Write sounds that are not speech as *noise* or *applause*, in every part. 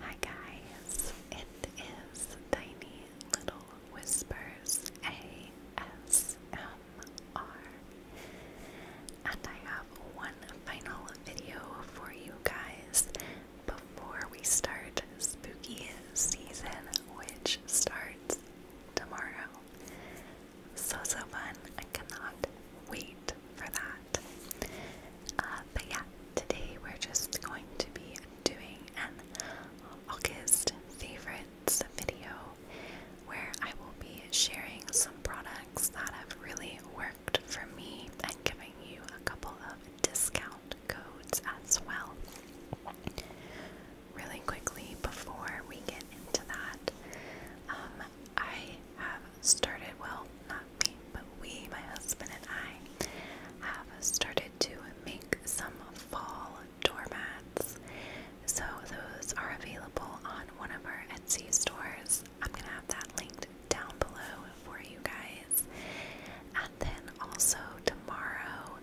Hi guys, it is Tiny Little Whispers ASMR, and I have one final video for you guys before we start spooky season, which starts tomorrow. So, so fun! I cannot wait for that. Uh, but yeah, today we're just going to be doing an August favorites video where I will be sharing some products that have really worked for me and giving you a couple of discount codes as well. Really quickly, before we get into that, um, I have started, well, but we, my husband and I, have started to make some fall doormats. So those are available on one of our Etsy stores. I'm going to have that linked down below for you guys. And then also tomorrow,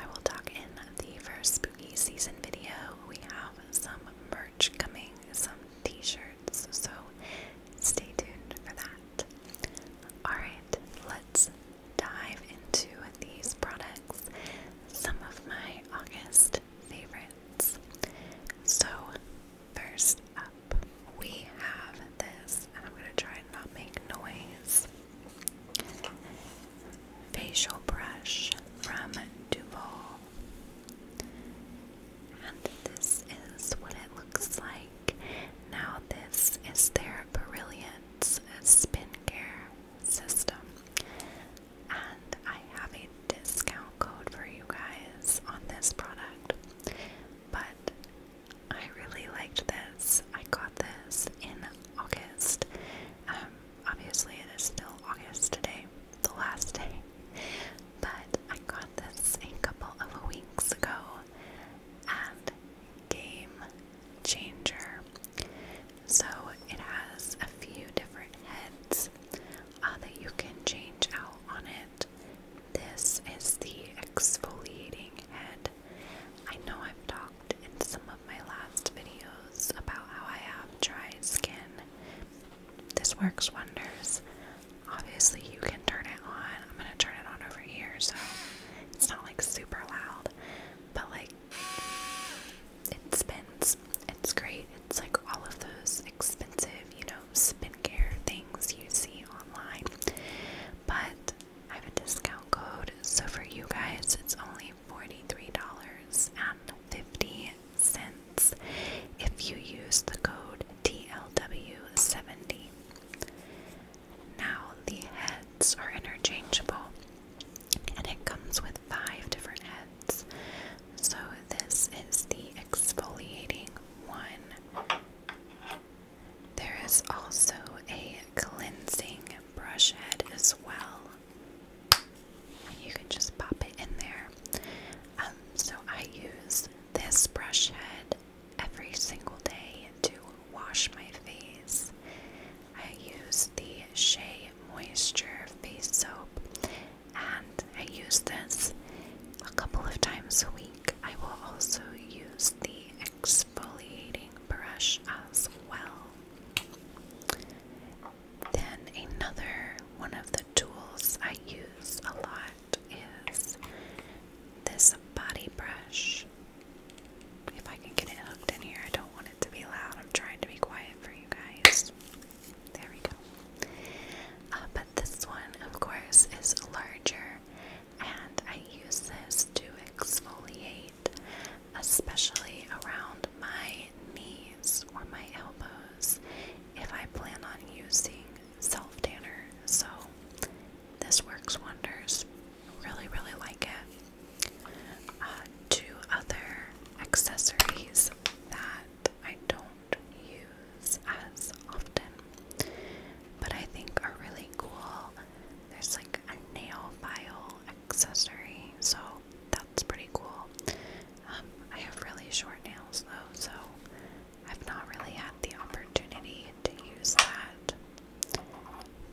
I will talk in the first spooky season video. We have some merch coming, some t shirts, so stay tuned for that. Alright, let's dive into these products, some of my August favorites. So, first up, we have this, and I'm going to try and not make noise facial brush from Duval. And this is what it looks like. Now, this is their spin Skincare system. And I have a discount code for you guys on this product. But I really liked this. I got this in August. Um, obviously, it is still August today, the last day. But I got this a couple of weeks ago and game changer. So it has a few different heads uh, that you can change out on it. This is the exfoliating head. I know I've talked in some of my last videos about how I have dry skin. This works wonders. Obviously, you can turn it on. I'm gonna turn it on over here so it's not like super loud, but like it spins. It's great. It's like all of those expensive, you know, spin care things you see online. But I have a discount code, so for you guys, it's only $43.50 if you use the code dlw 70 Now, the heads are interchangeable and it comes with five different heads. So, this is the exfoliating one. There is also a cleansing brush head as well. You can just pop it in there um, so I use this brush head every single day to wash my face. I use the Shea Moisture Face Soap, and I use this a couple of times a week. I will also use the exfoliating brush as well. Then another one of the tools I use a lot is this body brush. If I can get it hooked in here, I don't want it to be loud. I'm trying to be quiet for you guys. There we go. Uh, but this one, of course, is larger, and I use this to exfoliate, especially around my knees or my elbows if I plan on using self tanner. So this works wonders. Really, really like it. Uh, two other accessories that I don't use as often, but I think are really cool. There's like a nail file accessory, so that it's pretty cool. Um, I have really short nails though, so I've not really had the opportunity to use that.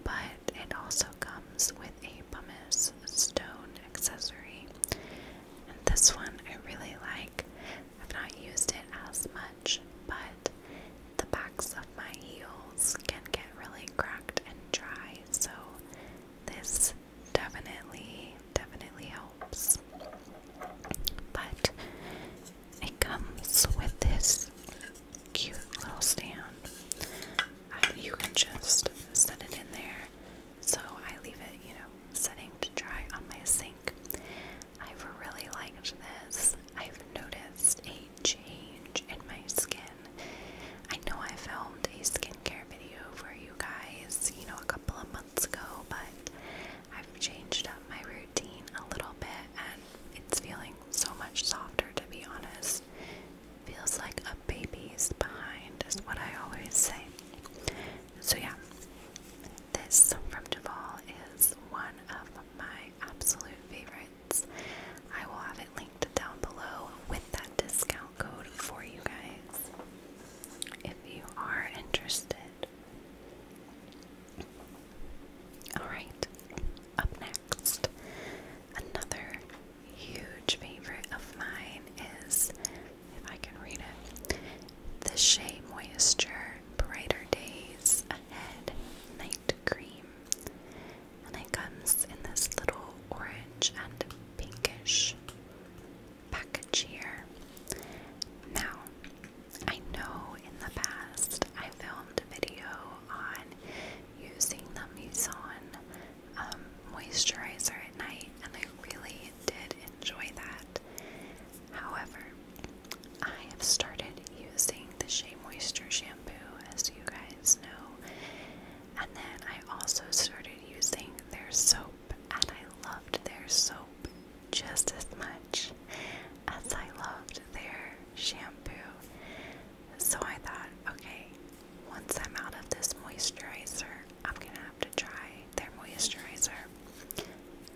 But it also comes with a pumice stone accessory. And this one I really like. I've not used it as much, but the backs of my heels can get really cracked and dry, so this definitely, definitely helps. But it comes with this cute little stand. Uh, you can just set it in there. So I leave it, you know, setting to dry on my sink. I've really liked this. I've noticed a change in my skin. I know I filmed a skincare video for you guys, you know, a couple of months months ago, but I've changed up my routine a little bit and it's feeling so much softer to be honest. Feels like a baby's behind, is what I always say. So, yeah, this from Duval is one of my absolute favorites. I will have it linked down below with that discount code for you guys if you are interested. Alright, up next, another huge favorite of mine is, if I can read it, the Shea Moisture Brighter Days Ahead Night Cream. And it comes in this little orange and pinkish package here. Now, I know in the past I filmed a video on using the Muson um, moisturizer at night, and I really did enjoy that. However, I have started using the Shea Moisture shampoo, as you guys know, and then I also started using their soap and I loved their soap just as much as I loved their shampoo. So I thought, okay, once I'm out of this moisturizer, I'm gonna have to try their moisturizer.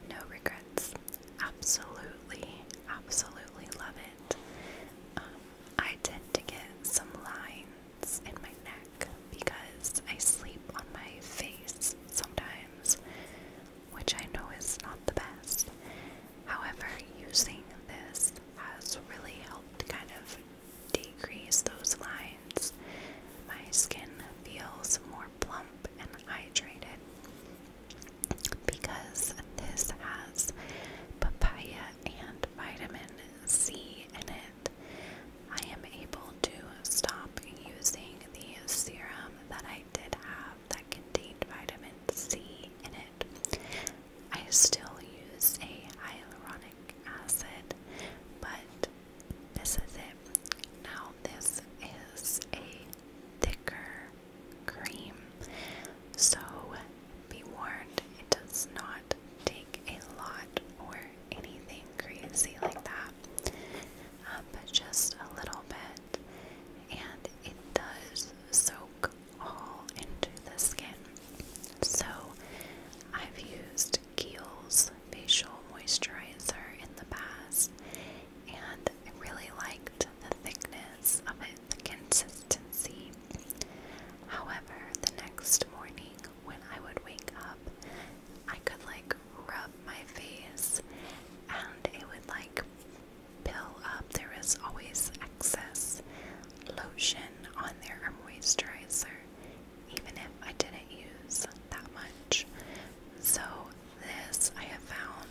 No regrets. Absolutely, absolutely love it. Um, I tend get some lines hands my neck because I sleep on my face sometimes, which I know is not the best. However, using this has really helped kind of decrease those lines. My skin feels more plump and hydrated because this has papaya and vitamin C in it, I am able to stop using the serum that I did have that contained vitamin C in it. I still use a hyaluronic acid, but this is it. Now, this is a thicker cream, so be warned it does not take a lot or anything crazy like that, um, but just a little bit, and it does soak all into the skin. So I've used Kiehl's facial moisturizer in the past, and I really liked the thickness of it, the consistency. However, the next morning when I would wake up, I could like rub my face and it would like pill up. There is always excess lotion on there or moisturizer, even if I didn't use that much. So, this I have found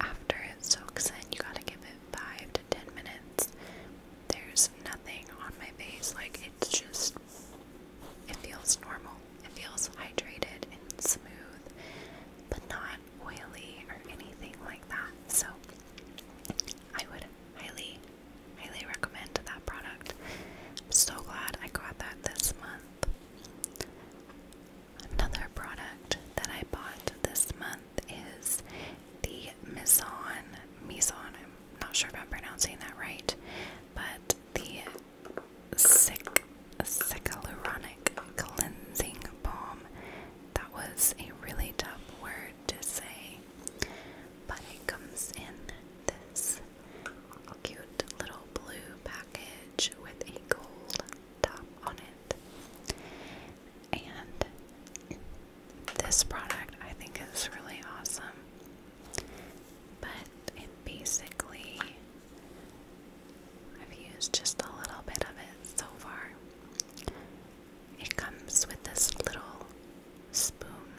after it soaks in, you gotta give it 5 to 10 minutes there's nothing on my face. Like it's just, it feels normal. It feels hydrated and smooth, but not oily or anything like that. So I would highly, highly recommend that product. I'm so glad I got that this month. Another product that I bought this month is the Maison. Maison, I'm not sure if I'm pronouncing that right, but the sick Cycaluronic Cleansing Balm. That was a really tough word to say, but it comes in this cute little blue package with a gold top on it. And this product I think is really awesome. But it basically, I've used just a little bit of it so far. It comes with this little spoon,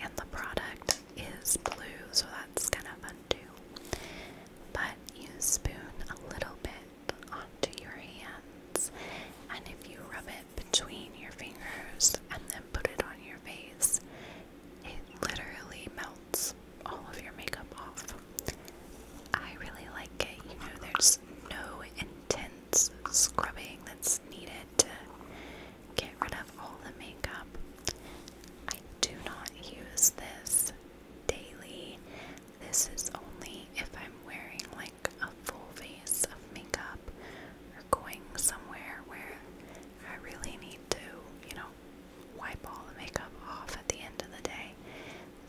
and the product is blue, so that's kind of fun too. But you spoon a little bit onto your hands, and if you rub it between your fingers and then put it on your face, it literally melts all of your makeup off. I really like it. You know, there's no intense scrubbing that's needed to get rid of all the makeup. I do not use this daily. This is only if I'm wearing like like a full face of makeup or going somewhere where I really need to, you know, wipe all the makeup off at the end of the day.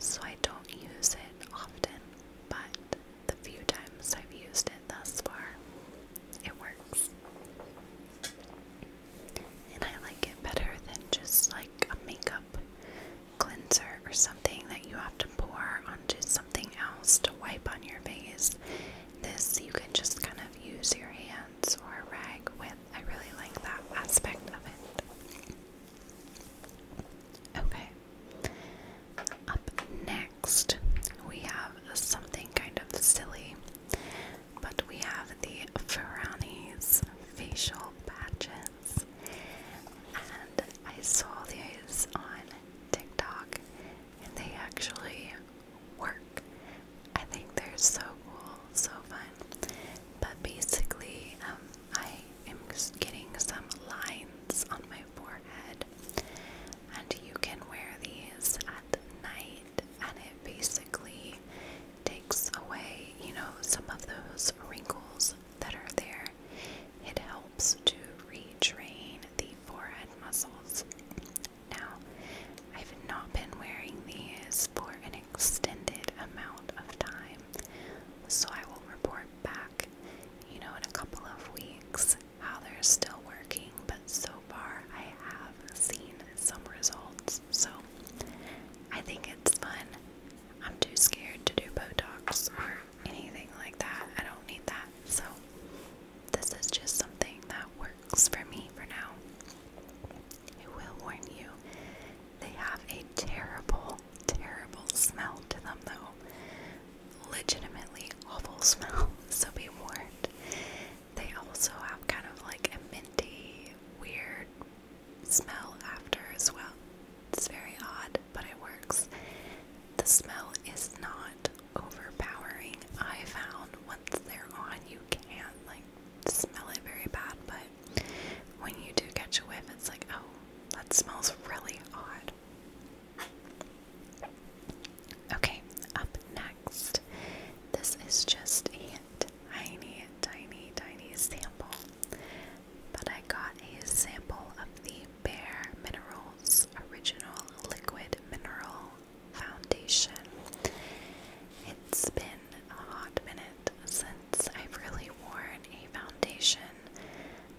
So I don't use it often, but the few times I've used it thus far, it works. And I like it better than just like a makeup cleanser or something that you have to pour onto something else to wipe on your face. This you can just kind of use your hands or a rag with. I really like that aspect of it. Okay. Up next, we have something kind of silly, but we have the Ferrani's facial patches. And I saw these on TikTok and they actually work. I think they're so cool, so fun. But basically, um, I am getting some lines on my forehead, and you can wear these at night, and it basically takes away, you know, some of those wrinkles that are there. It helps to retrain the forehead muscles. Now, I've not been wearing these for an extended amount of time, so I will report back, you know, in a couple of weeks how they're still working, but so far I have seen some results. So I think it's fun. I'm too scared to do Botox anything like that. I don't need that. So, this is just something that works for me for now. I will warn you, they have a terrible, terrible smell to them, though. Legitimately awful smell, *laughs* so be warned. They also have kind of like a minty, weird smell after as well. It's very odd, but it works. The smell is not overpowering. I found once they're on, you can't like smell it very bad, but when you do catch a whiff, it's like, oh, that smells really odd. Okay, up next. This is just a tiny, tiny, tiny sample but I got a sample of the Bare Minerals Original Liquid Mineral Foundation. It's been a hot minute since I've really worn a foundation.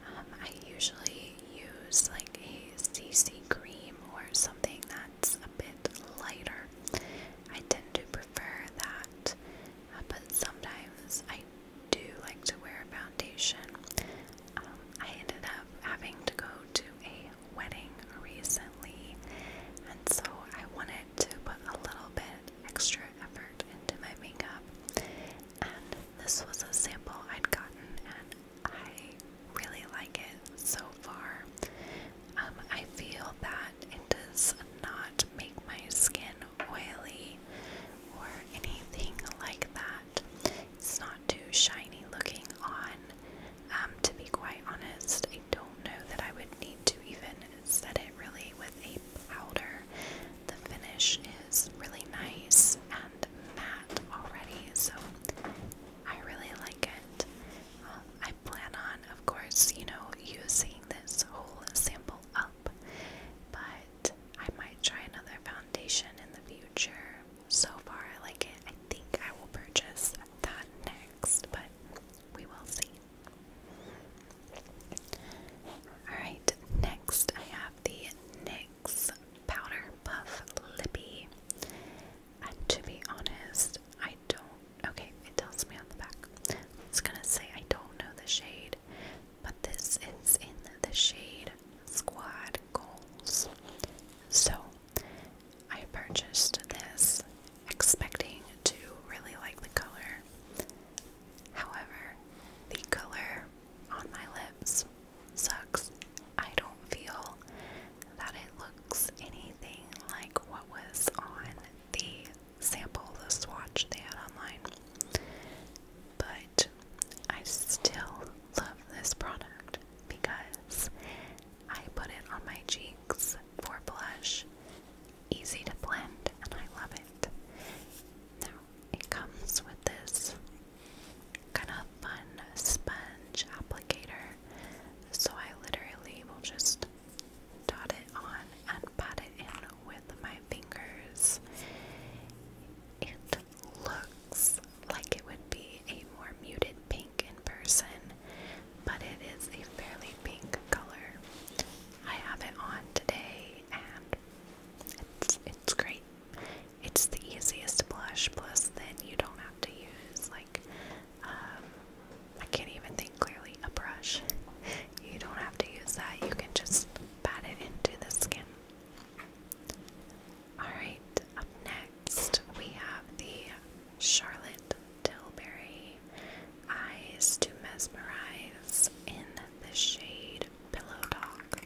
Um, I usually use like a CC cream or something that's a bit lighter. I tend to prefer that uh, but sometimes I do like to wear a foundation. Um, I ended up having to go to a wedding recently, and so I wanted to put a little bit extra effort into my makeup. And this was a sample I'd gotten, and I really like it so far. Um, I feel that it does not make my skin oily or anything like that. It's not too shiny looking on. Um, to be quite honest, I don't know that I would need to even set it really with a powder. The finish is really nice and matte already, so I really like it. Um, I plan on, of course, you know, using this whole sample up, but I might try another foundation in the future. So far, I like it. I think I will purchase that next, but we will see. Alright, next I have the NYX Powder Puff Lippy. And to be honest, I don't. Okay, it tells me on the back. It's gonna say I don't know the shade, but this is in the shade Squad Goals. So I purchased this expecting to really like the color. However, the color on my lips sucks. I don't feel that it looks anything like what was on the sample the swatch they had online. But I still love this product because I put it on my cheeks for blush. Easy to blend, and I love it. Now, it comes with this kind of fun sponge applicator, so I literally will just dot it on and pat it in with my fingers. It looks like it would be a more muted pink in person, but it is a fairly pink color. I have it on today and it's it's great. It's the easiest blush, plus then you don't have to use like um, I can't even think clearly a brush. *laughs* You don't have to use that, you can just pat it into the skin. Alright, up next we have the Charlotte Tilbury Eyes to Mesmerize in the shade Pillow Dog.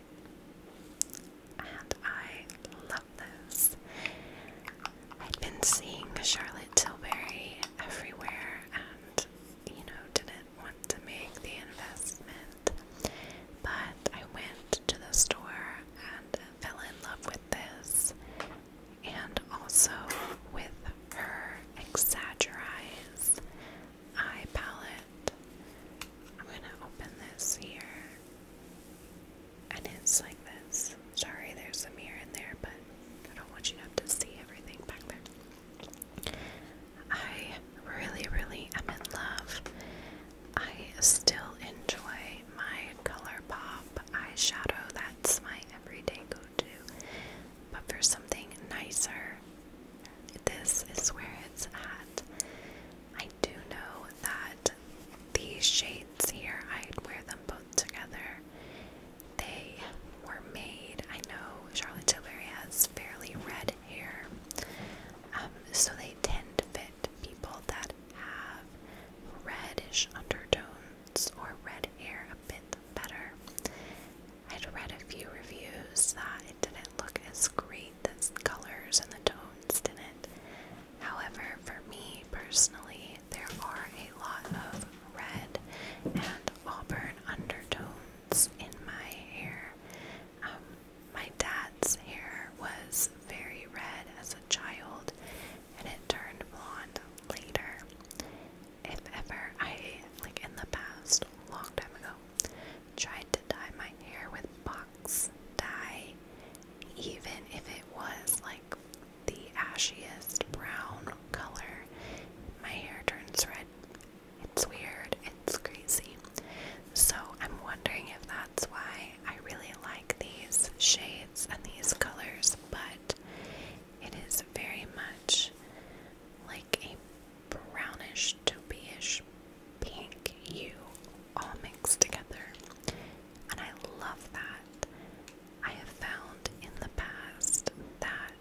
And I love this. I've been seeing Charlotte Tilbury everywhere, and you know, didn't want to make the investment. But I went to the store and fell in love with this and also with her Exaggerize eye palette. I'm gonna open this here. And it's like this. Sorry, there's a mirror in there, but I don't want you to have to see everything back there. I really, really am in love. I still enjoy my ColourPop eyeshadow. That's my everyday go to. But for something nicer, this is where it's at. I do know that these shades here, I'd wear them both together they were made. I know Charlotte Tilbury has fairly red hair, um, so they tend to fit people that have reddish undertones or red hair a bit better. I'd read a few reviews that it didn't look as great, the colors and the tones didn't. However, for me personally, there are a lot of red and auburn undertones in my hair. Um, my dad's hair was very red as a child and it turned blonde later. If ever I, like in the past, long time ago, tried to dye my hair with box dye, even if it was like the ashiest brown color. My hair turns red. It's weird. It's crazy. So I'm wondering if that's why I really like these shades and these colors, but it is very much like a brownish to beige pink hue all mixed together. And I love that. I have found in the past that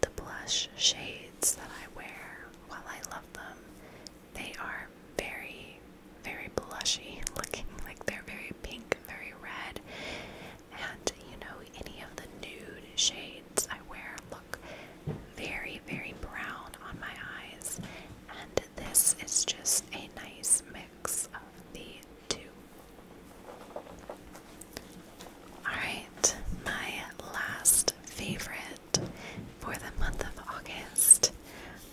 the blush shades that I wear while I love them. They are very, very blushy *laughs* looking, like they're very pink, very red. And you know, any of the nude shades I wear look very, very brown on my eyes. And this is just a nice mix of the two. Alright, my last favorite for the month of August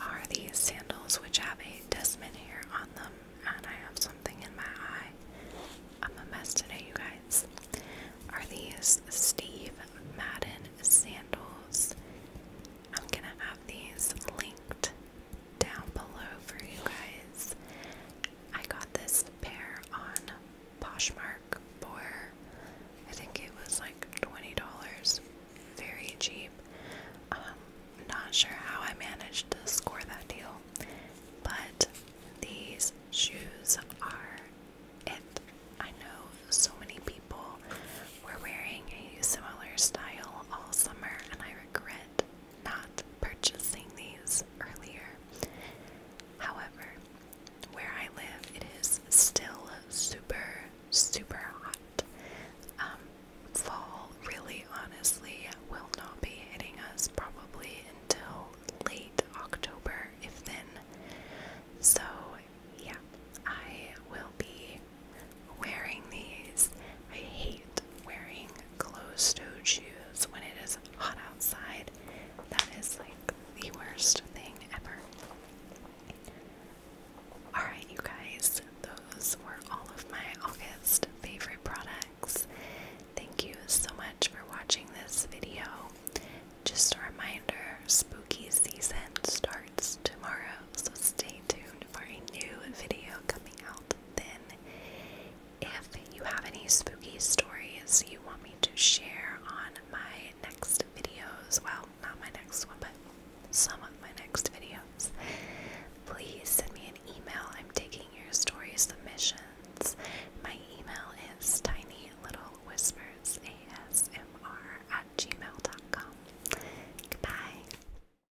are these sandals, which have a Desmond here on them, and I have something in my eye. I'm a mess today, you guys. Are these Steve Madden sandals? I'm gonna have these linked down below for you guys. I got this pair on Poshmark for I think it was like $20. Very cheap. Um, not sure how I managed to score that deal, but these shoes are it. I know so many people were wearing a similar style all summer, and I regret not purchasing these earlier. However, where I live, it is still super, super hot. Um, fall, really honestly, will not be hitting us probably until late October, if then. So, yeah, I will be wearing these. I hate wearing closed-toed shoes when it is hot outside. That is like the worst thing ever. Alright, you guys, those were all of my August favorite products. Thank you so much for watching this video. Just a reminder spooky season starts tomorrow, so stay tuned for a new video coming out then. If you have any spooky stories you want me to share on my next videos, well, not my next one, but some of my next videos, please send me an email. I'm taking your story submissions. My email is tinylittlewhispersasmr at gmail.com. Goodbye.